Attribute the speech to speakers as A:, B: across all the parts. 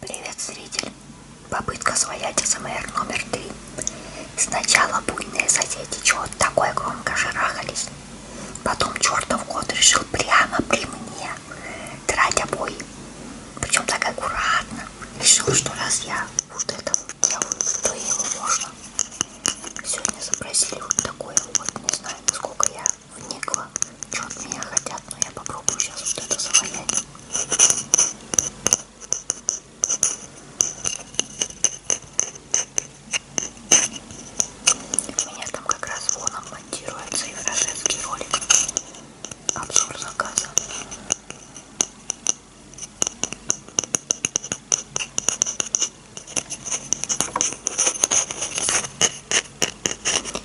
A: Привет, зритель! Попытка своять СМР номер три. Сначала буйные соседи чего такое громко шарахались. Потом чертов кот решил прямо при мне трать обои. Причем так аккуратно. Решил, что раз я уж это делаю, то его можно. Сегодня запросили вот такое вот, не знаю, насколько я вникла, что от меня хотят, но я попробую сейчас что-то завалять. У меня там как раз воном монтируется и фрашетский ролик. Обзор заказа.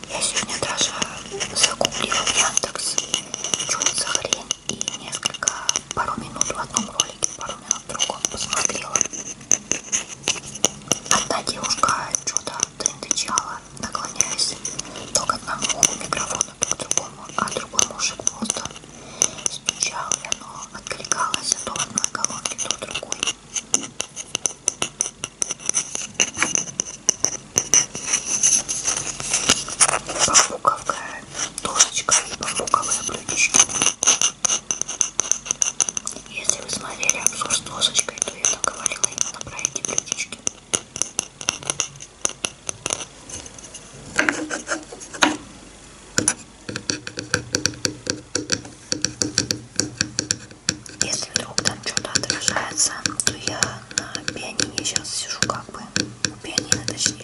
A: Я сегодня даже закупила в Яндекс. Что это за хрень? И несколько, пару минут в одном ролике, пару минут в другом посмотрела. Одна девушка что-то трендычала, наклоняясь то к одному микрофону, то к другому, а другой мужик просто стучал, и оно откликалось то в одной колонке, то в другой. Бамбуковая досочка и бамбуковые блюдечки. Если вы смотрели обзор с досочкой, то я там говорила именно про эти блюдечки если вдруг там что-то отражается, то я на пианине сейчас сижу как бы, ну, пианино точнее.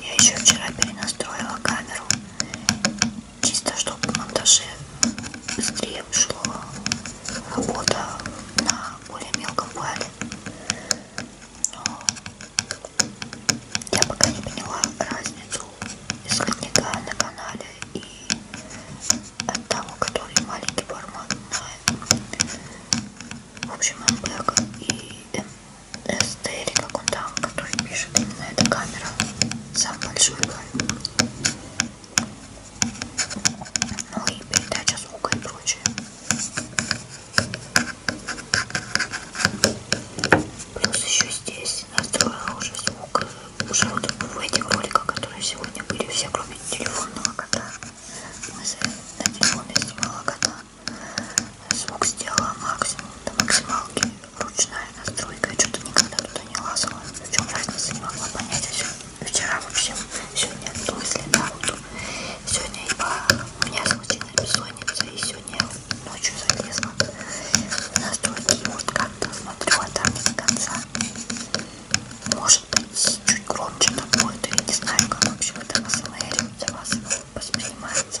A: Я еще вчера перенастроила камеру, чисто чтобы в монтаже быстрее вышло работа на более мелком плане. Но я пока не поняла разницу исходника на канале и от того, который маленький формат на, в общем, МБК и МСТ, или как он там, который пишет именно эта камера, сам большой камер. Ну и передача звука и прочее. Плюс еще здесь настроила уже звук уже вот в этих роликах, которые сегодня были все, кроме телефонного кота. Мы на телефон я снимала кота. Звук сделала максимум до максималки. Ручная настройка. Я что-то никогда туда не лазала. В чем разница, не могла понять. А вчера вообще сегодня мысли на руку. Сегодня я, у меня случилась бессонница и сегодня мне ночью залезла. Настолько может как-то смотрю, а там не до конца. Может быть, чуть громче там будет. Я не знаю, как вообще это АСМР за вас воспринимается.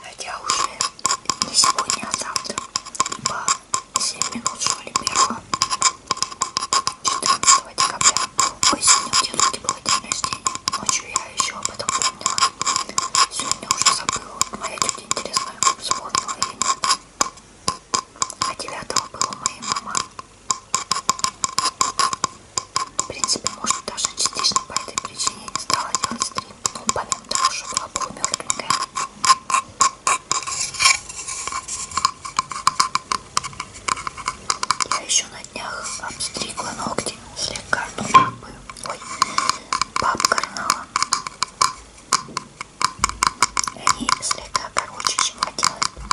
A: Хотя уже не сегодня, а завтра. По 7 минут что ли первого 14 декабря. Ой, сегодня у дедушки было день рождения. Ночью я еще об этом помнила. Сегодня уже забыла. Моя тетя интересная вспомнила или нет. А 9 было моей мама. В принципе, может, даже частично по этой причине я не стала делать стрим. Ну, помимо того, что была полумертвенькая. Я еще на днях обстригла ногти слегка, ну, папы. Ой, пап карнала. Они слегка короче, чем хотелось бы.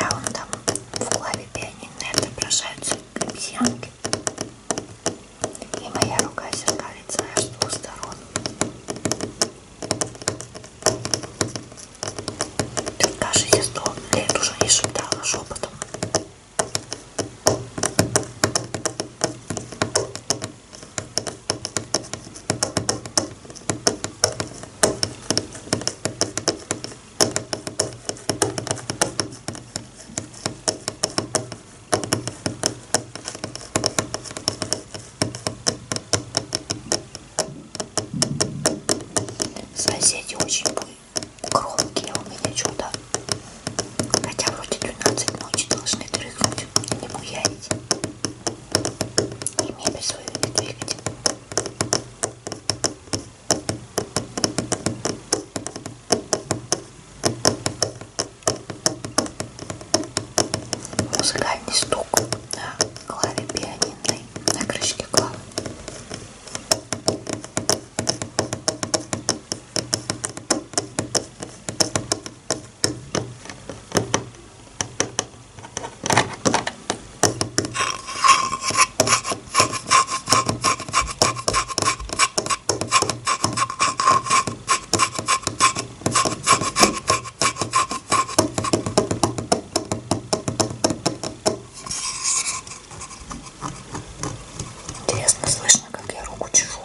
A: Раундом в клаве пианино отображаются обезьянки. И моя рука зеркалится аж с двух сторон. Тут даже я сто лет уже не шептала шепотом. Соседи очень громкие у меня чудо. Хотя вроде 12 ночи должны трыгнуть и не буянить и мебель свою не двигать. Музыкальный стук на клаве пианинной, на крышке клавы. Интересно слышно, как я руку чешу.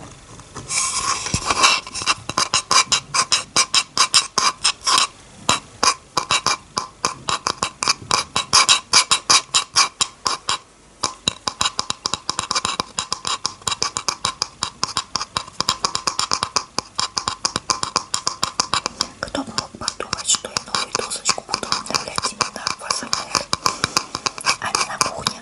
A: Кто бы мог подумать, что я новую досочку буду обновлять именно в АСМР, а не на кухне.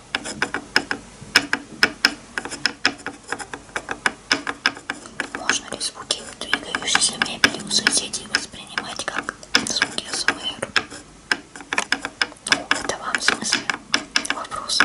A: Можно ли звуки двигающейся мебели у соседей воспринимать как звуки СМР? Ну, это вам смысл вопроса.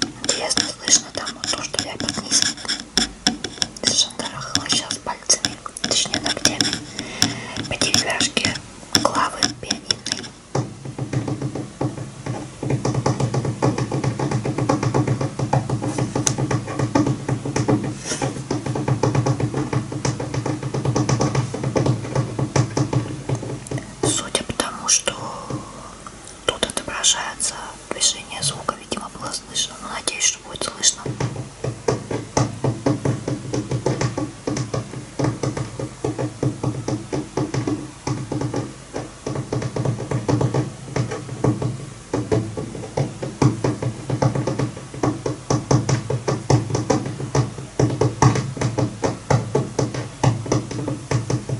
A: Интересно, слышно там вот то, что я поднизу. Шандарахала сейчас пальцами, точнее ногтями, по деревяшке клавы пианинной. Судя по тому, что Тут отображается движение звука, видимо, было слышно, но ну, надеюсь, что будет слышно.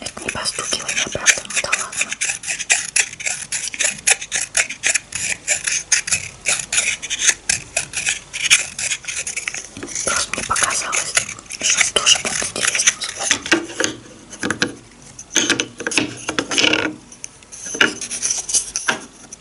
A: Это не постукивание, правда? Ну да ладно. Просто мне показалось, что тоже будет интересным звуком.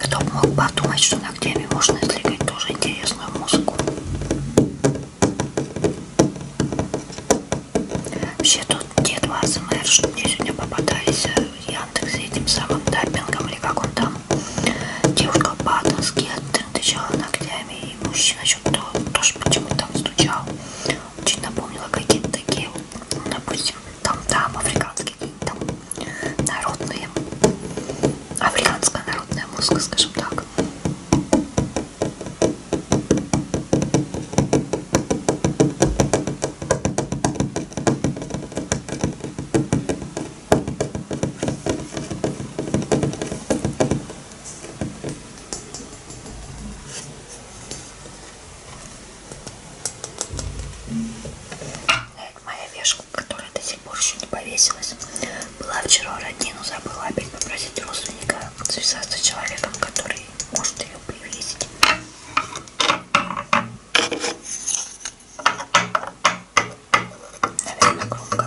A: Кто бы мог подумать, что ногтями можно извлекать тоже интересную музыку. Вообще тут те два СМР, что мне сегодня попадались э, в Яндексе этим самым таппингом или как он там. Девушка по-атонски оттычала ногтями и мужчина что-то тоже почему-то там стучал. Очень напомнила какие-то такие, ну, допустим, там-там, африканские там народные, африканская народная музыка, скажем так. Э, моя вешка, которая до сих пор еще не повесилась. Была вчера роднину, забыла опять попросить родственника связаться с человеком, который может ее привесить. Наверное, громко.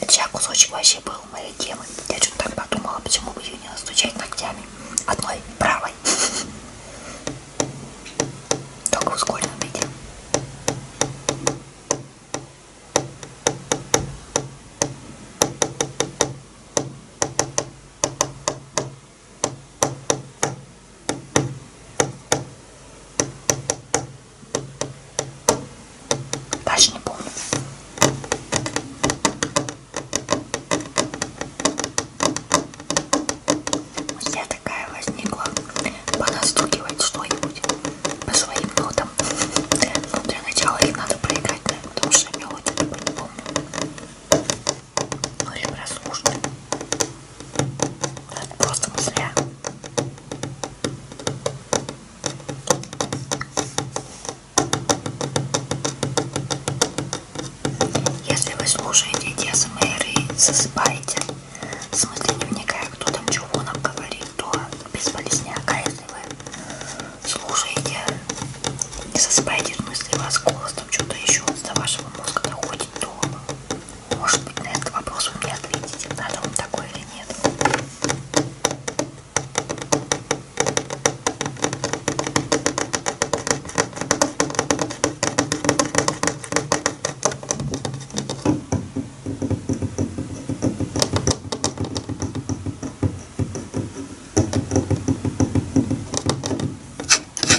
A: Это сейчас кусочек вообще был моей темы. Я что-то так подумала, почему бы ее не настучать ногтями. Одной правой. Только в ускоренном виде. Даже не помню. Я такая возникла. Понастукивать что-нибудь по своим нотам. Но ну, для начала их надо проиграть, потому что я мелодию не помню ну или прослушать. Это просто мысля. Если вы слушаете те СМР и засыпаете, в смысле не вникая, кто там чего нам говорит, то без полезняка, если вы слушаете не засыпайте в ну, смысле вас голос, там что-то еще до вашего мозга доходит, то может быть на этот вопрос вы мне ответите, надо вам такое или нет.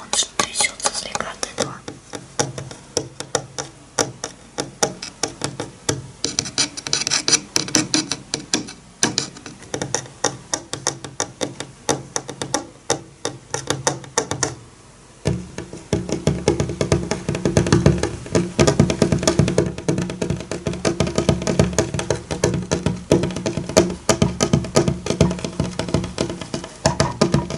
A: Он же трясется слегка от этого.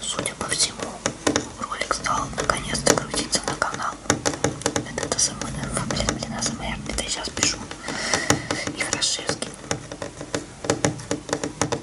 A: Судя по всему, ролик стал наконец-то крутиться на канал. Это АСМР, блин, блин, АСМР, это я сейчас пишу. И Хорошевский.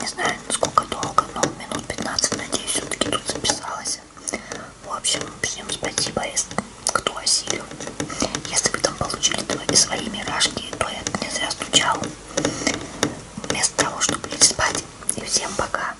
A: Не знаю, насколько долго, но минут 15, надеюсь, все-таки тут записалась. В общем, всем спасибо, кто осилил. Если вы там получили свои миражки, то я не зря стучал. Вместо того, чтобы лечь спать. И всем пока.